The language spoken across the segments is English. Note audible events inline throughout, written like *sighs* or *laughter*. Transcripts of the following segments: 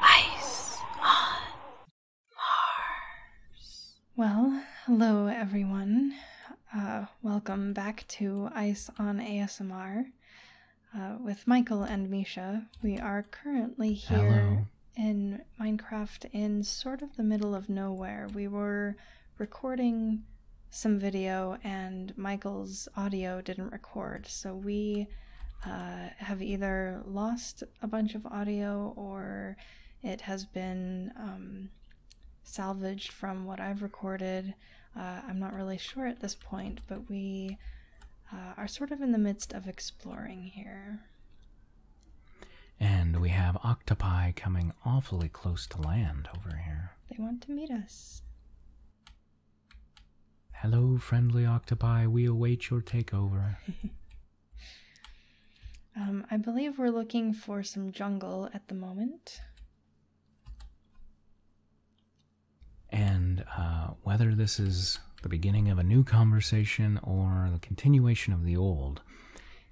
Ice on Mars. Well, hello everyone. Uh, welcome back to Ice on ASMR. Uh, with Michael and Misha, we are currently here in Minecraft in sort of the middle of nowhere. We were recording some video and Michael's audio didn't record, so we uh, have either lost a bunch of audio or it has been um, salvaged from what I've recorded. Uh, I'm not really sure at this point, but we uh, are sort of in the midst of exploring here. And we have octopi coming awfully close to land over here. They want to meet us. Hello, friendly octopi. We await your takeover. *laughs* Um, I believe we're looking for some jungle at the moment. And uh, whether this is the beginning of a new conversation or the continuation of the old,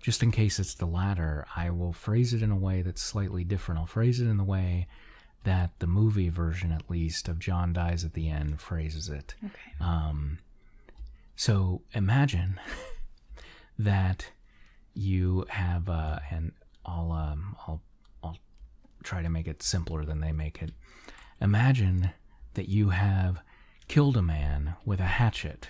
just in case it's the latter, I will phrase it in a way that's slightly different. I'll phrase it in the way that the movie version, at least, of John Dies at the End phrases it. Okay. Um, so imagine *laughs* that you have, uh, and I'll, um, I'll, I'll try to make it simpler than they make it. Imagine that you have killed a man with a hatchet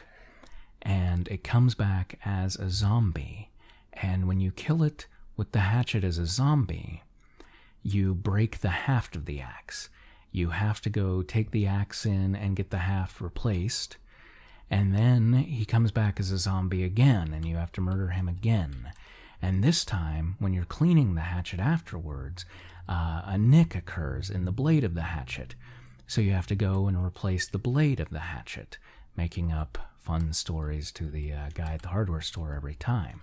and it comes back as a zombie and when you kill it with the hatchet as a zombie, you break the haft of the axe. You have to go take the axe in and get the haft replaced. And then he comes back as a zombie again, and you have to murder him again. And this time, when you're cleaning the hatchet afterwards, uh, a nick occurs in the blade of the hatchet. So you have to go and replace the blade of the hatchet, making up fun stories to the uh, guy at the hardware store every time.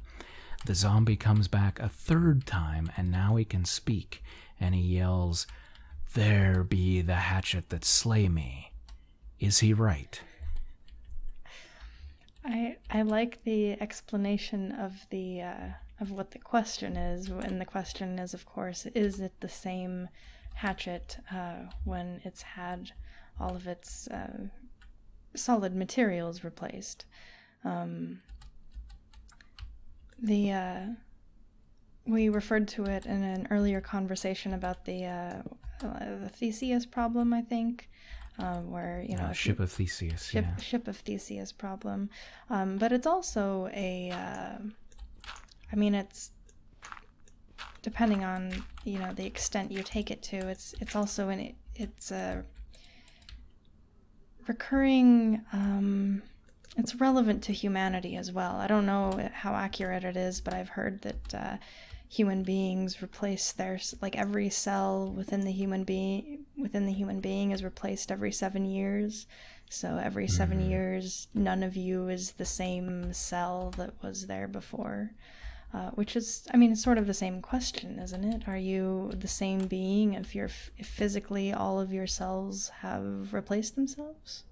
The zombie comes back a third time, and now he can speak, and he yells, There be the hatchet that slay me. Is he right? I I like the explanation of the uh, of what the question is, and the question is, of course, is it the same hatchet uh, when it's had all of its solid materials replaced. Um, the uh, we referred to it in an earlier conversation about the uh, uh, Theseus problem, I think, uh, where you know ship of Theseus, ship, of Theseus problem. Um, but it's also a, I mean, it's depending on you know the extent you take it to, it's it's also an it's a recurring. Um, it's relevant to humanity as well. I don't know how accurate it is, but I've heard that uh, human beings replace their like every cell within the human being within the human being is replaced every seven years. So every 7 mm-hmm. years, none of you is the same cell that was there before. Uh, which is, I mean, it's sort of the same question, isn't it? Are you the same being if you're if physically all of your cells have replaced themselves?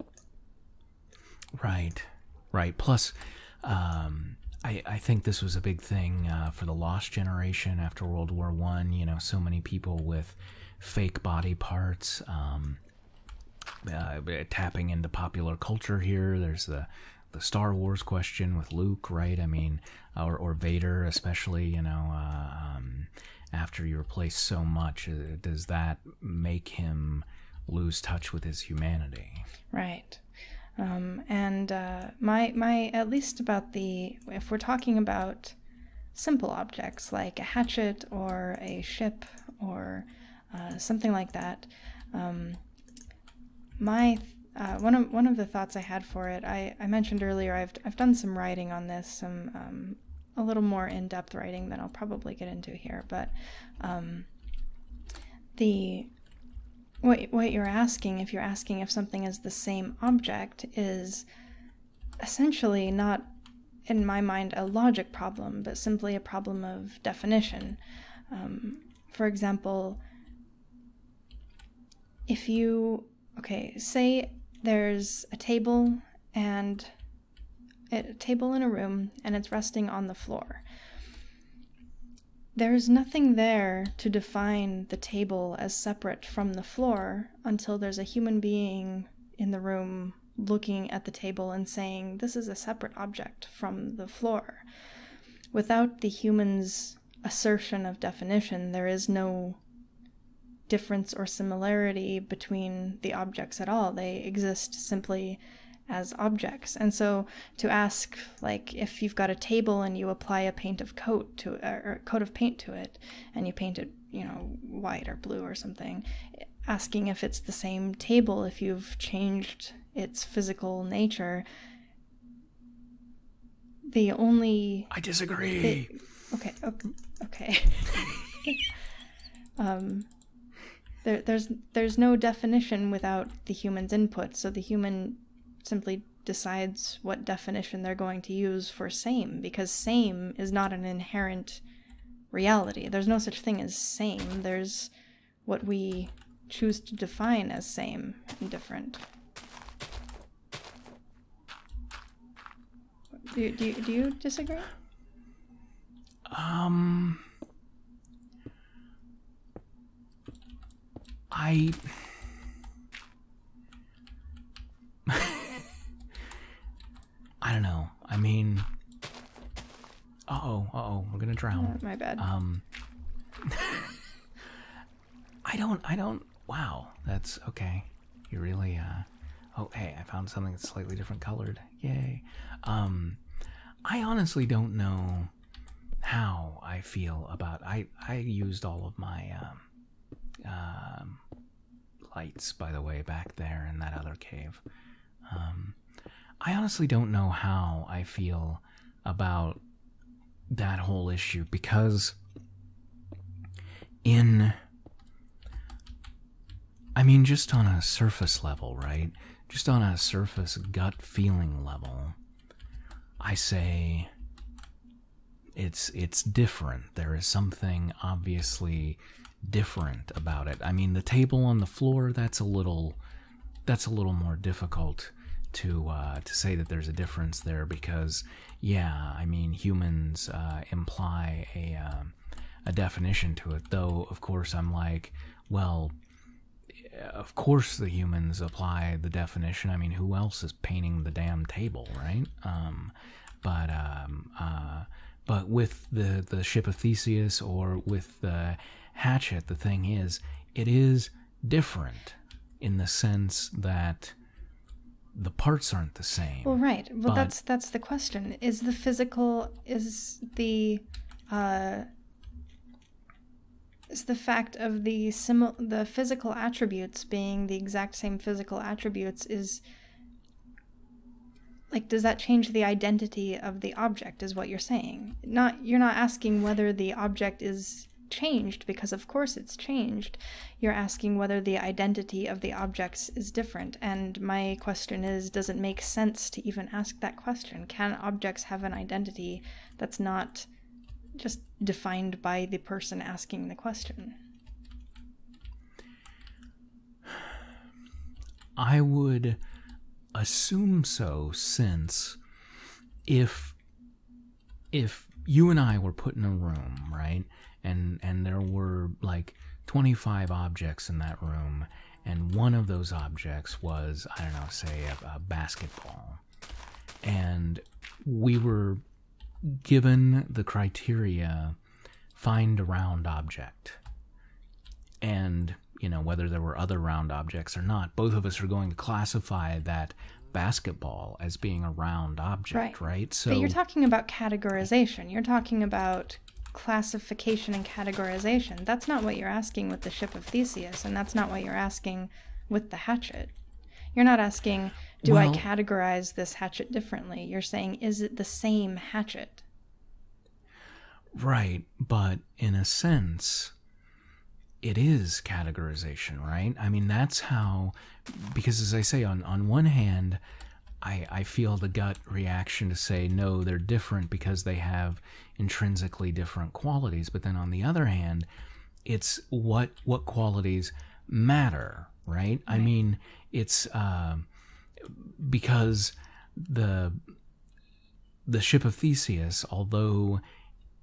Right, right. Plus, um, I I think this was a big thing uh, for the lost generation after World War One. You know, so many people with fake body parts. Um, uh, tapping into popular culture here. There's the the Star Wars question with Luke, right? I mean, or or Vader, especially, you know, uh, um, after you replace so much, uh, does that make him lose touch with his humanity? Right. Um, and uh, my my at least about the if we're talking about simple objects like a hatchet or a ship or uh, something like that. Um, my uh, one of one of the thoughts I had for it, I, mentioned earlier, I've I've done some writing on this, some um, a little more in depth writing than I'll probably get into here, but um, the what what you're asking, if you're asking if something is the same object, is essentially not in my mind a logic problem, but simply a problem of definition for example, if you, okay, say there's a table and a table in a room and it's resting on the floor. There's nothing there to define the table as separate from the floor until there's a human being in the room looking at the table and saying, This is a separate object from the floor without the human's assertion of definition, there is no difference or similarity between the objects at all. They exist simply as objects. And so to ask, like, if you've got a table and you apply a coat of paint to it, and you paint it, you know, white or blue or something, asking if it's the same table if you've changed its physical nature the only I disagree. okay, okay. okay. *laughs* Um, there, there's there's no definition without the human's input, so the human simply decides what definition they're going to use for same because same is not an inherent reality. There's no such thing as same. There's what we choose to define as same and different. Do, do, do you disagree? Um, I. *laughs* I don't know. I mean, uh oh, uh oh, we're gonna drown. my bad. Um, *laughs* I don't, I don't. Wow, that's okay. You really, uh, oh hey, I found something that's slightly different colored. Yay. Um, I honestly don't know how I feel about. I I used all of my um, um lights, by the way, back there in that other cave. Um, I honestly don't know how I feel about that whole issue because in I mean just on a surface level, right? Just on a surface gut feeling level, I say it's it's different. There is something obviously different about it. I mean the table on the floor that's a little that's a little more difficult to uh, to say that there's a difference there because yeah, I mean humans uh, imply a um, a definition to it. Though of course I'm like, well, eh, of course the humans apply the definition. I mean, who else is painting the damn table, right? Um, but um, uh, but with the the ship of Theseus or with the hatchet, the thing is, it is different in the sense that the parts aren't the same. Well, right. Well, that's that's the question. Is the physical is the uh, is the fact of the simil the physical attributes being the exact same physical attributes is like does that change the identity of the object? is what you're saying not you're not asking whether the object is changed because of course it's changed you're asking whether the identity of the objects is different and my question is does it make sense to even ask that question can objects have an identity that's not just defined by the person asking the question i would assume so since if if you and I were put in a room, right? And and there were like 25 objects in that room, and one of those objects was, I don't know, say a, basketball. And we were given the criteria find a round object. And you know, whether there were other round objects or not, both of us are going to classify that basketball as being a round object, right? So But you're talking about categorization. You're talking about classification and categorization. That's not what you're asking with the ship of Theseus, and that's not what you're asking with the hatchet. You're not asking, do I categorize this hatchet differently? You're saying, is it the same hatchet? Right, but in a sense, it is categorization, right? I mean, that's how, because as I say, on, on one hand, I, I feel the gut reaction to say, no, they're different because they have intrinsically different qualities. But then on the other hand, it's what, what qualities matter, right? I mean, it's uh, because the the ship of Theseus, although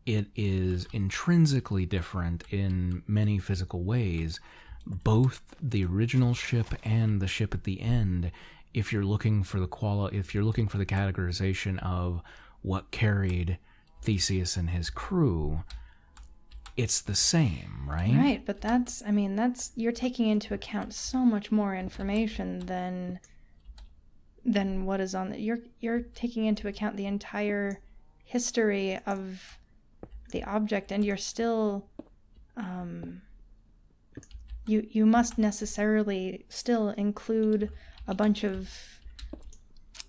it is intrinsically different in many physical ways, both the original ship and the ship at the end, if you're looking for the quali- if you're looking for the categorization of what carried Theseus and his crew, it's the same, right? Right, but that's I mean, that's you're taking into account so much more information than than what is on the you're you're taking into account the entire history of the object and you're still um, you you must necessarily still include a bunch of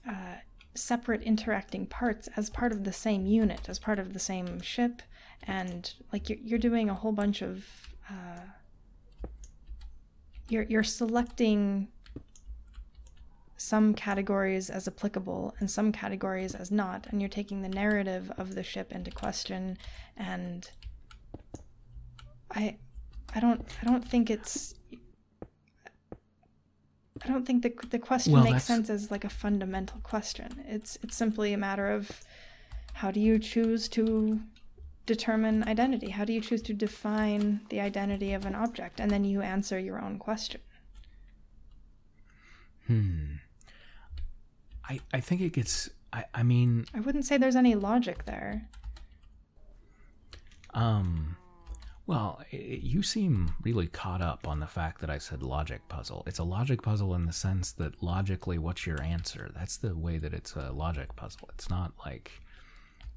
uh, separate interacting parts as part of the same unit as part of the same ship and like you're, you're doing a whole bunch of uh, you're, you're selecting some categories as applicable and some categories as not, and you're taking the narrative of the ship into question. And I, I don't, I don't think it's, I don't think the the question makes sense as like a fundamental question. It's it's simply a matter of how do you choose to determine identity? How do you choose to define the identity of an object? And then you answer your own question. Hmm. I I think it gets I I mean I wouldn't say there's any logic there. Um well, you seem really caught up on the fact that I said logic puzzle. It's a logic puzzle in the sense that logically what's your answer? That's the way that it's a logic puzzle. It's not like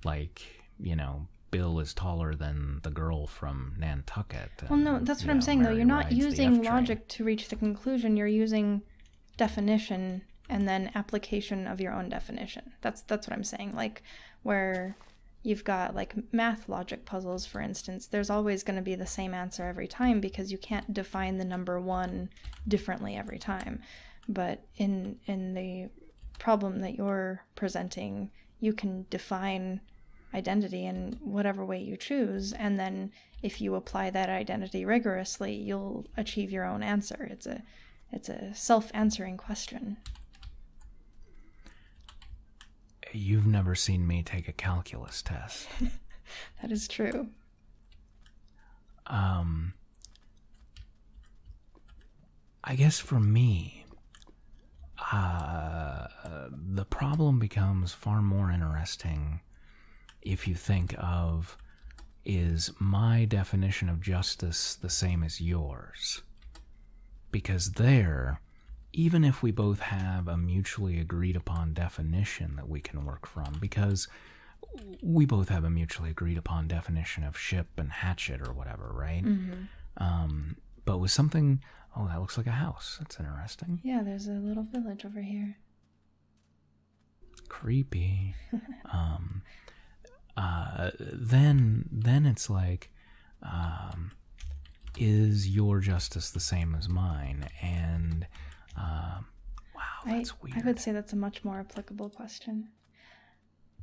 like you know Bill is taller than the girl from Nantucket. well, no, that's what I'm saying though. You're not using logic to reach the conclusion. You're using definition and then application of your own definition. That's that's what I'm saying. Like where you've got like math logic puzzles for instance, there's always going to be the same answer every time because you can't define the number 1 differently every time. But in in the problem that you're presenting, you can define identity in whatever way you choose and then if you apply that identity rigorously, you'll achieve your own answer. It's a it's a self-answering question. You've never seen me take a calculus test. *laughs* that is true. Um, I guess for me, uh, the problem becomes far more interesting if you think of is my definition of justice the same as yours? Because there, even if we both have a mutually agreed upon definition that we can work from, because we both have a mutually agreed upon definition of ship and hatchet or whatever, right? Mm-hmm. Um, but with something, oh, that looks like a house. That's interesting. Yeah, there's a little village over here. Creepy. *laughs* Um, uh, then, then it's like, um, is your justice the same as mine? And uh, wow, that's weird. I would say that's a much more applicable question.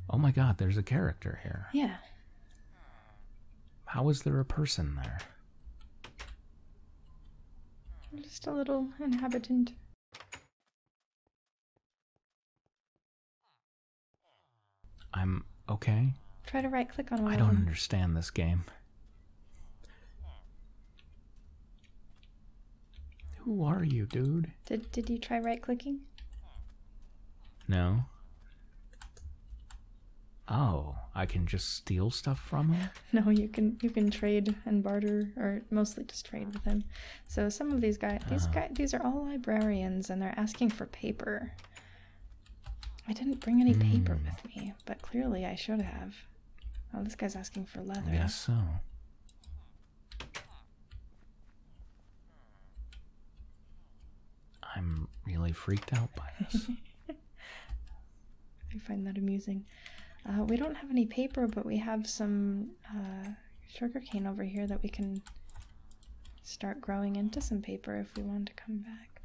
Oh my god, there's a character here. Yeah. How is there a person there? Just a little inhabitant. I'm okay. Try to right click on one. I don't understand this game. Who are you, dude? Did did you try right clicking? No. Oh, I can just steal stuff from him? *laughs* no, you can you can trade and barter or mostly just trade with him. So some of these guys these ah. guys these are all librarians and they're asking for paper. I didn't bring any paper hmm. with me, but clearly I should have. Oh, this guy's asking for leather. Yes, so. I'm really freaked out by this. *laughs* I find that amusing. Uh, we don't have any paper, but we have some uh, sugarcane over here that we can start growing into some paper if we want to come back.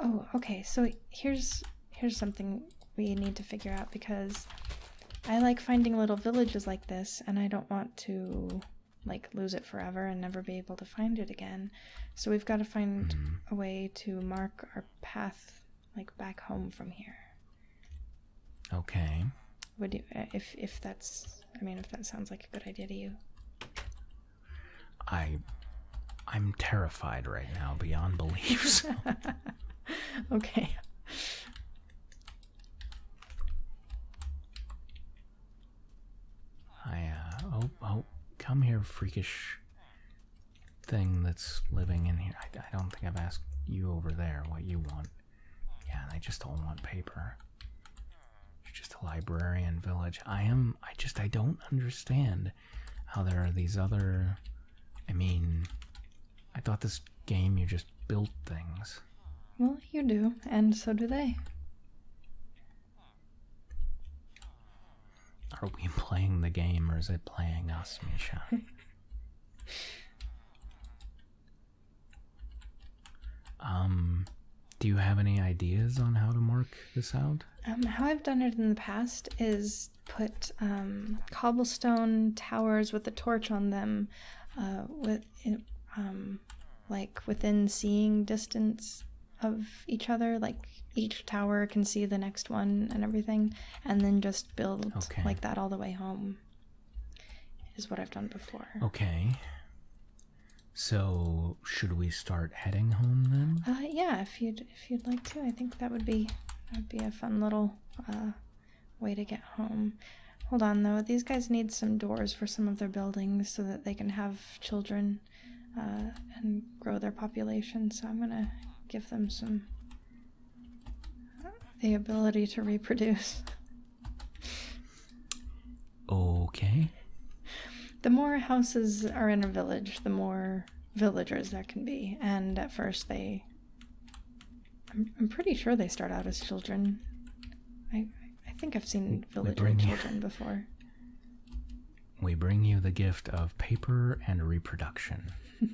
Oh, okay. So here's here's something we need to figure out because I like finding little villages like this, and I don't want to like lose it forever and never be able to find it again. So we've got to find mm-hmm. a way to mark our path, like back home from here. Okay. Would you, uh, if if that's, I mean, if that sounds like a good idea to you? I, I'm terrified right now beyond beliefs. *laughs* okay. I, uh, oh, oh, come here, freakish thing that's living in here. I, I don't think I've asked you over there what you want. Yeah, and I just don't want paper. It's just a librarian village. I am, I just, I don't understand how there are these other, I mean, I thought this game you just built things. Well, you do, and so do they. Are we playing the game or is it playing us, Misha? *laughs* um, do you have any ideas on how to mark this out? Um, how I've done it in the past is put um, cobblestone towers with a torch on them uh, with um, like within seeing distance of each other like each tower can see the next one and everything and then just build like that all the way home is what i've done before okay so should we start heading home then uh, yeah if you'd if you'd like to i think that would be that would be a fun little uh, way to get home. Hold on though, these guys need some doors for some of their buildings so that they can have children uh, and grow their population. So I'm gonna give them some the ability to reproduce. Okay. The more houses are in a village, the more villagers there can be, and at first they I'm, I'm pretty sure they start out as children. I I think I've seen villager children before. We bring you the gift of paper and reproduction. *laughs*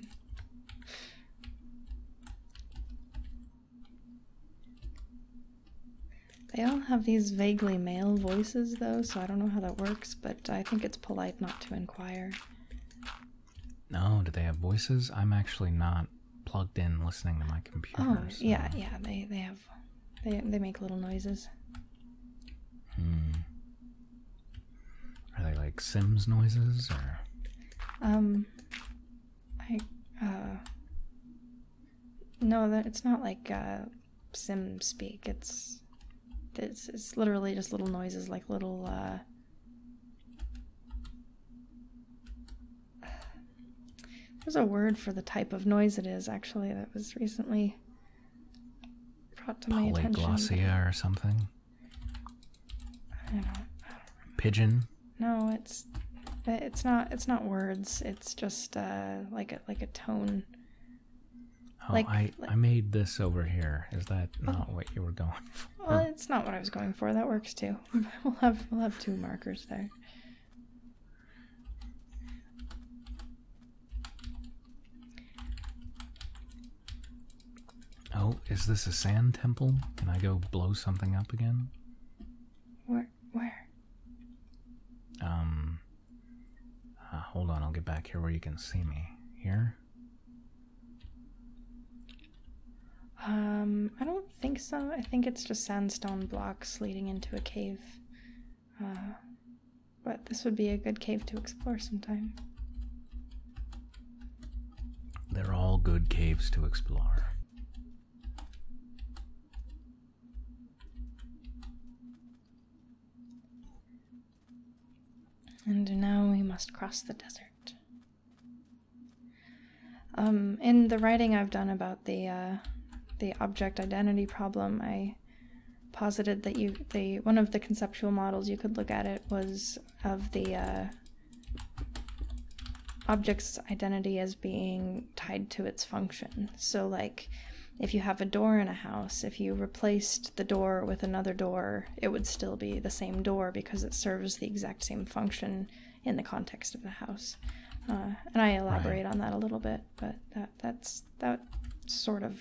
They all have these vaguely male voices, though, so I don't know how that works, but I think it's polite not to inquire. No, do they have voices? I'm actually not plugged in listening to my computer. Oh, yeah, yeah, they they have they they make little noises. Hmm. Are they like Sims noises or Um I uh No, that it's not like uh Sim speak. It's it's it's literally just little noises like little uh there's a word for the type of noise it is, actually, that was recently brought to my attention. Polyglossia or something? I don't, I Pigeon? No, it's it's not it's not words. It's just uh, like a like a tone. Oh, I made this over here. Is that oh. not what you were going *laughs* for? Well, it's not what I was going for. That works too. *laughs* we'll have we'll have two markers there. Oh, is this a sand temple? Can I go blow something up again? Where? Where? Um. Uh, hold on, I'll get back here where you can see me. Here? Um, I don't think so. I think it's just sandstone blocks leading into a cave. Uh, but this would be a good cave to explore sometime. They're all good caves to explore. And now we must cross the desert. Um, in the writing I've done about the uh, the object identity problem, I posited that one of the conceptual models you could look at it was of the uh, object's identity as being tied to its function. So like if you have a door in a house, if you replaced the door with another door, it would still be the same door because it serves the exact same function in the context of the house. Uh, and I elaborate on that a little bit, but that that's that sort of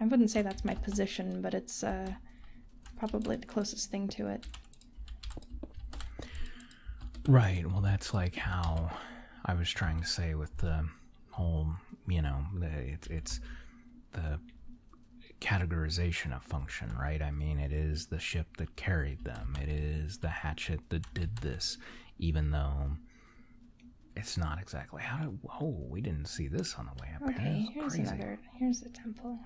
I wouldn't say that's my position, but it's uh, probably the closest thing to it. Right. Well, that's like how I was trying to say with the whole, you know, it's the categorization of function, right? I mean, it is the ship that carried them, it is the hatchet that did this, even though it's not exactly how to. Oh, we didn't see this on the way up Okay, here's another. Here's the temple.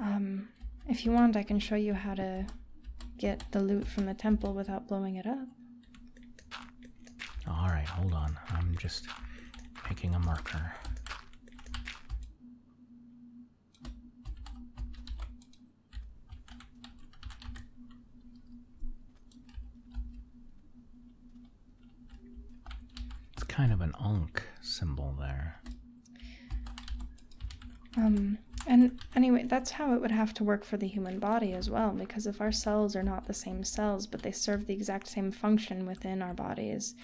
Um, if you want, I can show you how to get the loot from the temple without blowing it up. All right, hold on. I'm just making a marker. It's kind of an onk symbol there. Um, and anyway, that's how it would have to work for the human body as well, because if our cells are not the same cells, but they serve the exact same function within our bodies,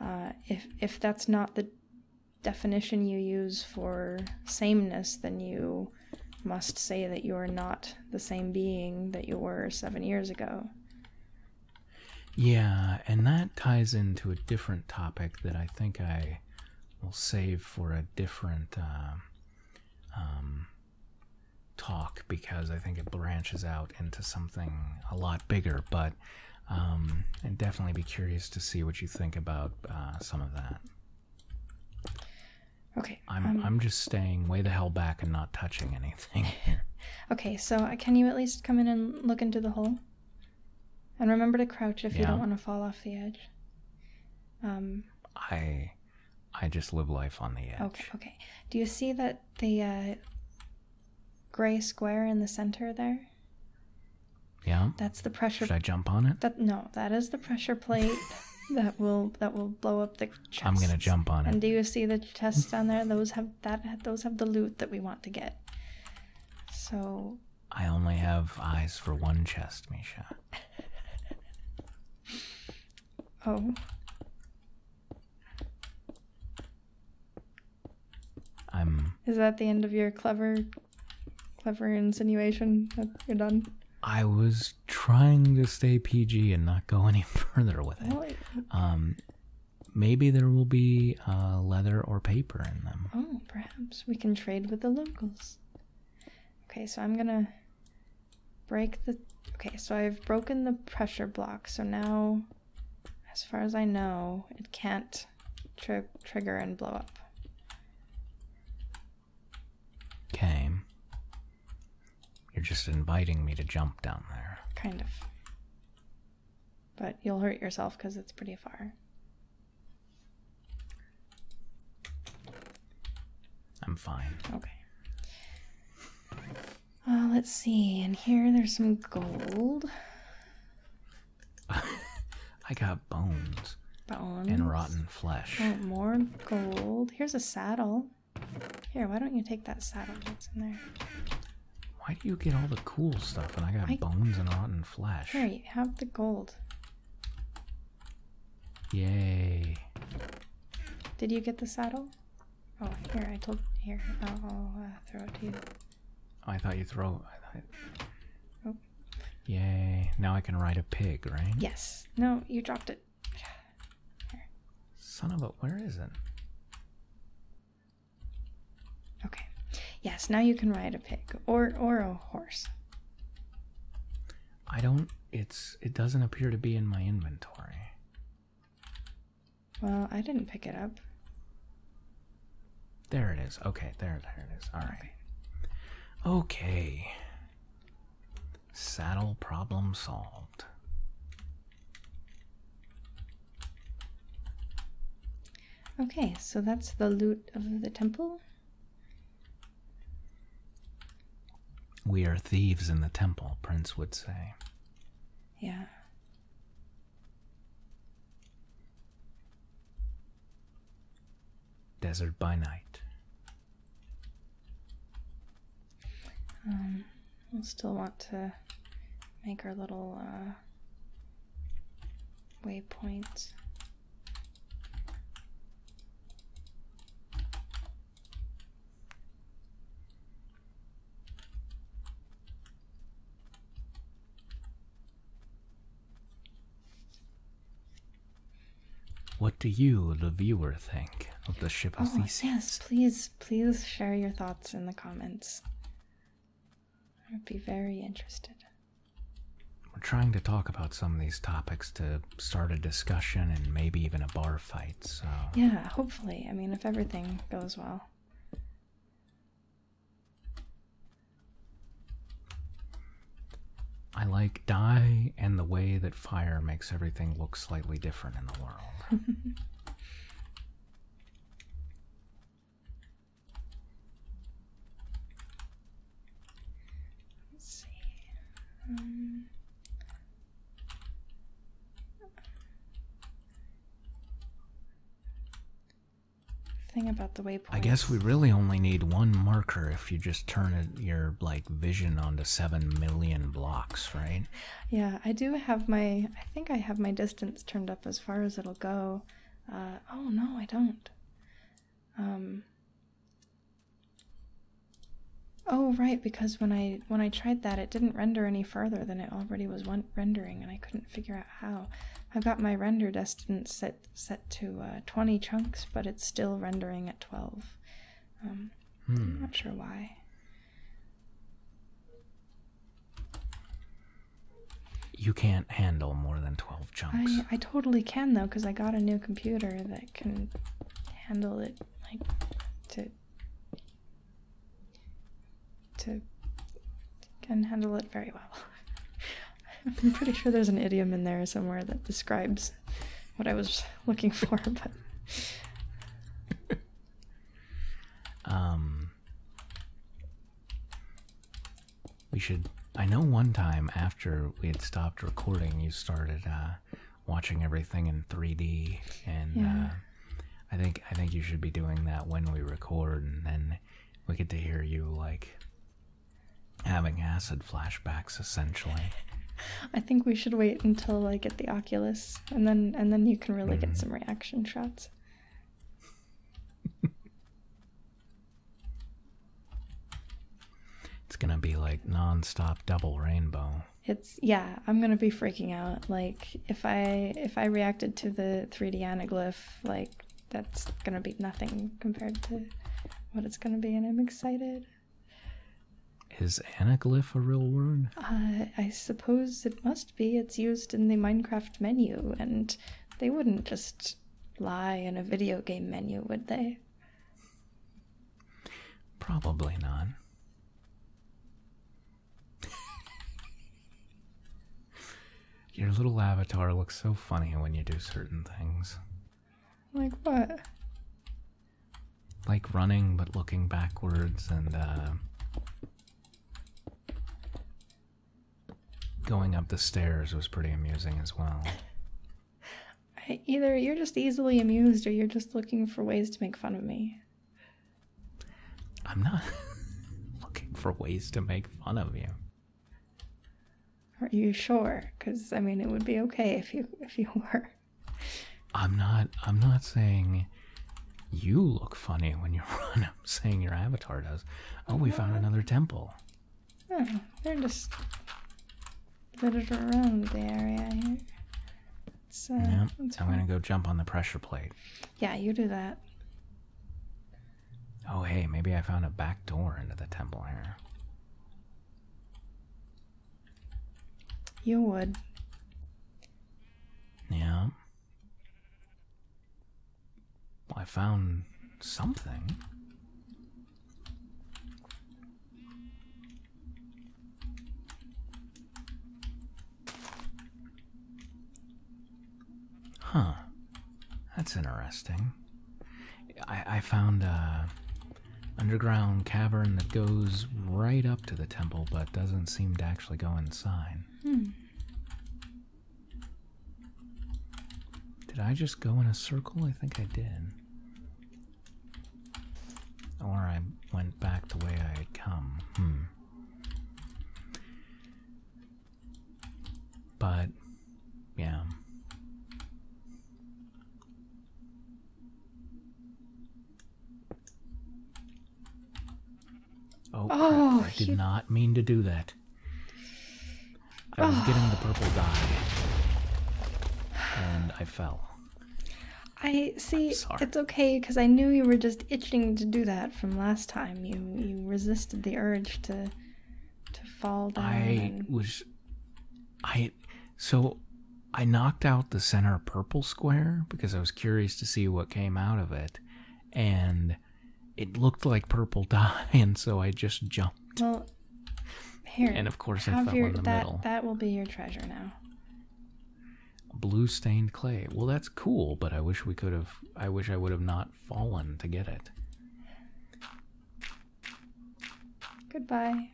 uh, if if that's not the definition you use for sameness, then you must say that you are not the same being that you were seven years ago. Yeah, and that ties into a different topic that I think I will save for a different uh, um, talk because I think it branches out into something a lot bigger. But um, and definitely be curious to see what you think about uh, some of that. Okay. I'm um, I'm just staying way the hell back and not touching anything *laughs* okay, so uh, can you at least come in and look into the hole? And remember to crouch if you don't want to fall off the edge. Um. I, I just live life on the edge. Okay. Okay. Do you see that the uh, gray square in the center there. Yeah. That's the pressure. Should I jump on it? no, that is the pressure plate *laughs* that will that will blow up the chest. I'm gonna jump on it. And do you see the chests down there? Those have that. Those have the loot that we want to get. So. I only have eyes for one chest, Misha. oh. Is that the end of your clever, clever insinuation that you're done? I was trying to stay PG and not go *laughs* any further with it. Um, maybe there will be uh, leather or paper in them. Oh, perhaps we can trade with the locals. Okay, so I'm gonna break the. Okay, so I've broken the pressure block, so now as far as I know, it can't trigger and blow up. Okay. You're just inviting me to jump down there. Kind of. But you'll hurt yourself because it's pretty far. I'm fine. Okay. Uh, let's see. And here there's some gold. *laughs* I got bones. And rotten flesh. Oh, more gold. Here's a saddle. Here, why don't you take that saddle that's in there? Why do you get all the cool stuff and I got bones and rotten flesh? Here, you have the gold. Yay. Did you get the saddle? Oh, here, I told. Here, I'll, uh, throw it to you. I thought you throw. I thought... Oh. Yay! Now I can ride a pig, right? Yes. No, you dropped it. Son of a, where is it? Okay. Yes. Now you can ride a pig or or a horse. I don't. It's. It doesn't appear to be in my inventory. Well, I didn't pick it up. There it is. Okay, there, there it is. All right. Okay. okay. Saddle problem solved. Okay, so that's the loot of the temple. We are thieves in the temple, Prince would say. Yeah. Desert by Night. Um, we'll still want to make our little uh, waypoint. What do you, the viewer, think of the ship of oh, Theseus? Yes, please, please share your thoughts in the comments. I would be very interested. We're trying to talk about some of these topics to start a discussion and maybe even a bar fight, so. Yeah, hopefully. I mean, if everything goes well. I like dye and the way that fire makes everything look slightly different in the world. *laughs* Let's see. Um, thing about the waypoint. I guess we really only need one marker if you just turn your like vision onto seven million blocks, right? Yeah, I do have my. I think I have my distance turned up as far as it'll go. Uh, oh no, I don't. Um, oh right, because when I when I tried that, it didn't render any further than it already was rendering, and I couldn't figure out how. I've got my render distance set set to uh, 20 chunks, but it's still rendering at 12. Um, I'm hmm. not sure why. You can't handle more than 12 chunks. I, I totally can though, because I got a new computer that can handle it like to to can handle it very well. *laughs* I'm pretty sure there's an idiom in there somewhere that describes what I was looking for, *laughs* but um we should I know one time after we had stopped recording you started uh, watching everything in 3D and uh, I think I think you should be doing that when we record and then we get to hear you like having acid flashbacks essentially. *laughs* I think we should wait until I get the Oculus and then and then you can really get mm-hmm. some reaction shots. *laughs* it's gonna be like non-stop double rainbow. It's yeah, I'm gonna be freaking out. Like if I if I reacted to the 3D anaglyph, like that's gonna be nothing compared to what it's gonna be, and I'm excited. Is anaglyph a real word? Uh, I suppose it must be. It's used in the Minecraft menu, and they wouldn't just lie in a video game menu, would they? Probably not. Your little avatar looks so funny when you do certain things. Like what? Like running but looking backwards and uh, going up the stairs was pretty amusing as well. *laughs* either you're just easily amused or you're just looking for ways to make fun of me. I'm not *laughs* looking for ways to make fun of you. Are you sure? Because I mean, it would be okay if you if you *laughs* were. I'm not. I'm not saying you look funny when you are *laughs* i saying your avatar does. Oh, we found oh. another temple. Oh, they're just littered around the area here. So uh, I'm gonna go jump on the pressure plate. Yeah, you do that. Oh, hey, maybe I found a back door into the temple here. You would. Yeah. I found something. Huh. That's interesting. I, I found a underground cavern that goes right up to the temple, but doesn't seem to actually go inside. Hmm. Did I just go in a circle? I think I did. Or I went back the way I had come. Hmm. But yeah. Oh, oh I did not mean to do that. I was getting the purple dye, and I fell. I see. It's okay because I knew you were just itching to do that from last time. You you resisted the urge to to fall down. I was I so I knocked out the center purple square because I was curious to see what came out of it and it looked like purple *laughs* dye and so I just jumped. Well, here. And of course I fell in the middle. That will be your treasure now. Blue stained clay. Well, that's cool, but I wish we could have I wish I would have not fallen to get it. Goodbye.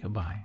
Goodbye.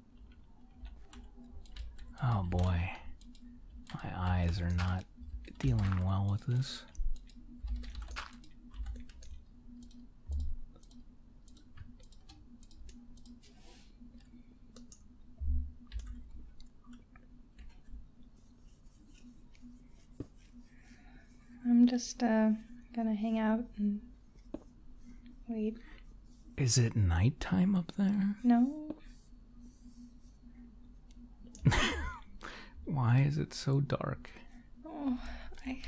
Oh boy, my eyes are not dealing well with this. I'm just uh, gonna hang out and Wait. Is it nighttime up there? No. *laughs* Why is it so dark? Oh, I.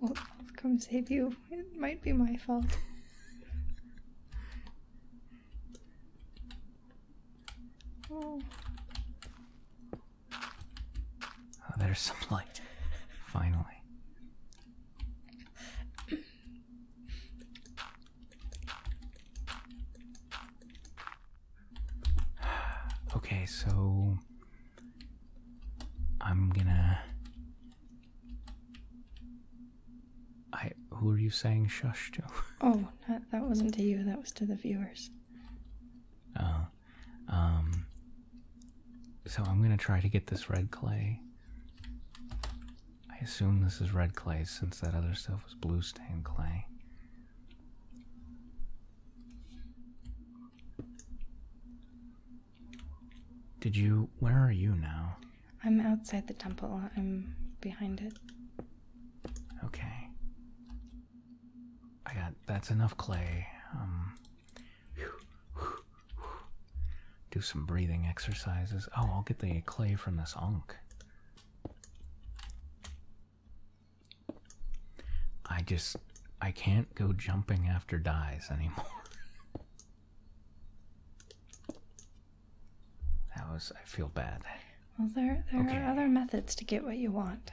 Well, I'll come save you. It might be my fault. oh. Oh, there's some light. Finally. *sighs* okay, so I'm gonna. I. Who are you saying shush to? *laughs* Oh, not, that wasn't to you, that was to the viewers. Oh. Um, so I'm going to try to get this red clay. I assume this is red clay since that other stuff was blue stained clay. Did you. Where are you now? I'm outside the temple. I'm behind it. Okay. I got. That's enough clay. Um, do some breathing exercises. Oh, I'll get the clay from this Ankh. I just, I can't go jumping after dies anymore. *laughs* that was, I feel bad. Well, there, there are other methods to get what you want.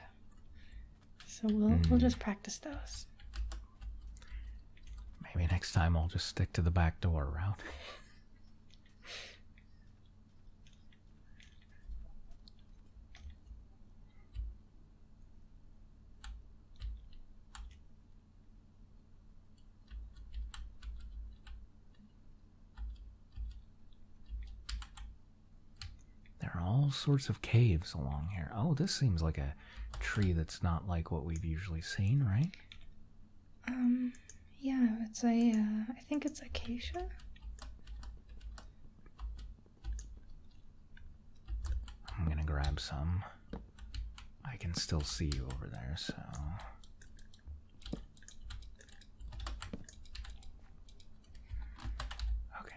So we'll we'll mm. just practice those. Maybe next time I'll just stick to the back door route. There are all sorts of caves along here. Oh, this seems like a tree that's not like what we've usually seen, right? Um, yeah, it's a. Uh, I think it's acacia. I'm gonna grab some. I can still see you over there, so. Okay.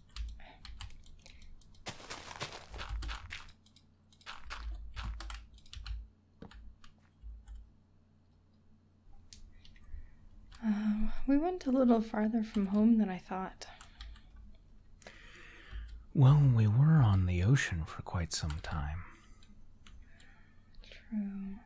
Um, we went a little farther from home than I thought. Well, we were on the ocean for quite some time. True.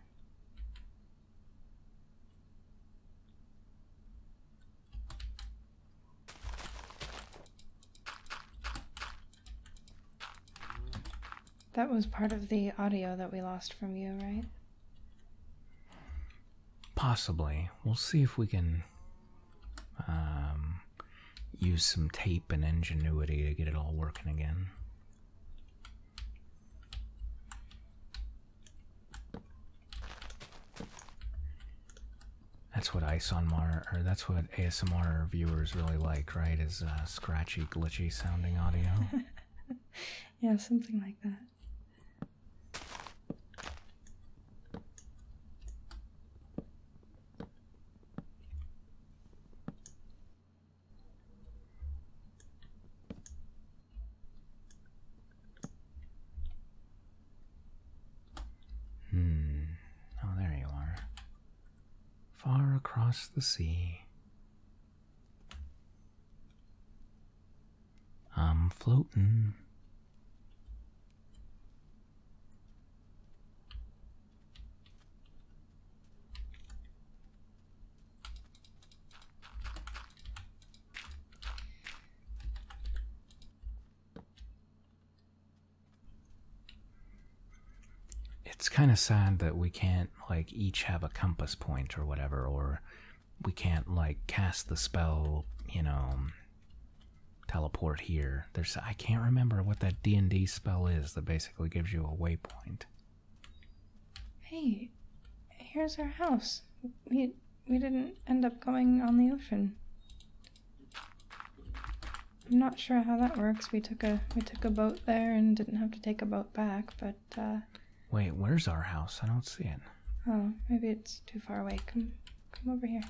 That was part of the audio that we lost from you, right? Possibly. We'll see if we can um, use some tape and ingenuity to get it all working again. That's what ISOMR or that's what ASMR viewers really like, right? Is uh, scratchy, glitchy sounding audio. *laughs* yeah, something like that. Hmm. Oh, there you are. Far across the sea. I'm floating. It's kind of sad that we can't, like, each have a compass point or whatever, or we can't, like, cast the spell, you know, teleport here. There's, I can't remember what that D&D spell is that basically gives you a waypoint. Hey, here's our house. We we didn't end up going on the ocean. I'm not sure how that works. We took a we took a boat there and didn't have to take a boat back, but uh, Wait, where's our house? I don't see it. Oh, maybe it's too far away. Come come over here.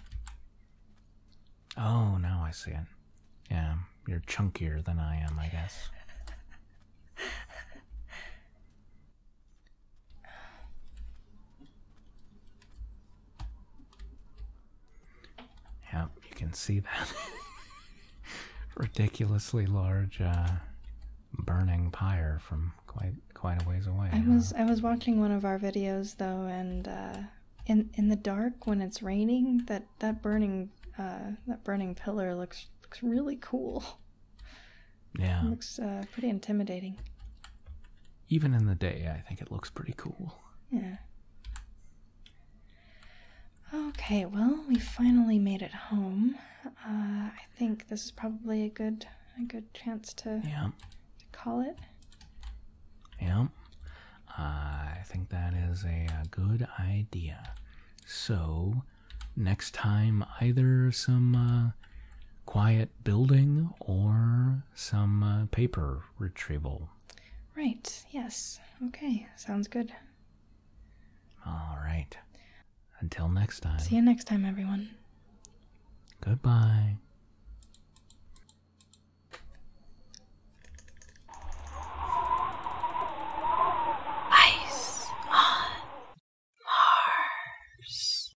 Oh, now I see it. Yeah, you're chunkier than I am, I guess. *laughs* Yeah, you can see that *laughs* ridiculously large uh, burning pyre from quite quite a ways away. I was I was watching one of our videos though, and uh, in in the dark when it's raining, that that burning uh, that burning pillar looks looks really cool. *laughs* Yeah. looks uh, pretty intimidating. Even in the day, I think it looks pretty cool. Yeah. Okay, well, we finally made it home. Uh, I think this is probably a good a good chance to, yeah. to call it. Yeah. I think that is a, good idea. So, next time, either some uh, quiet building or some uh, paper retrieval. Right, yes. Okay, sounds good. All right. Until next time. See you next time, everyone. Goodbye. Ice on Mars.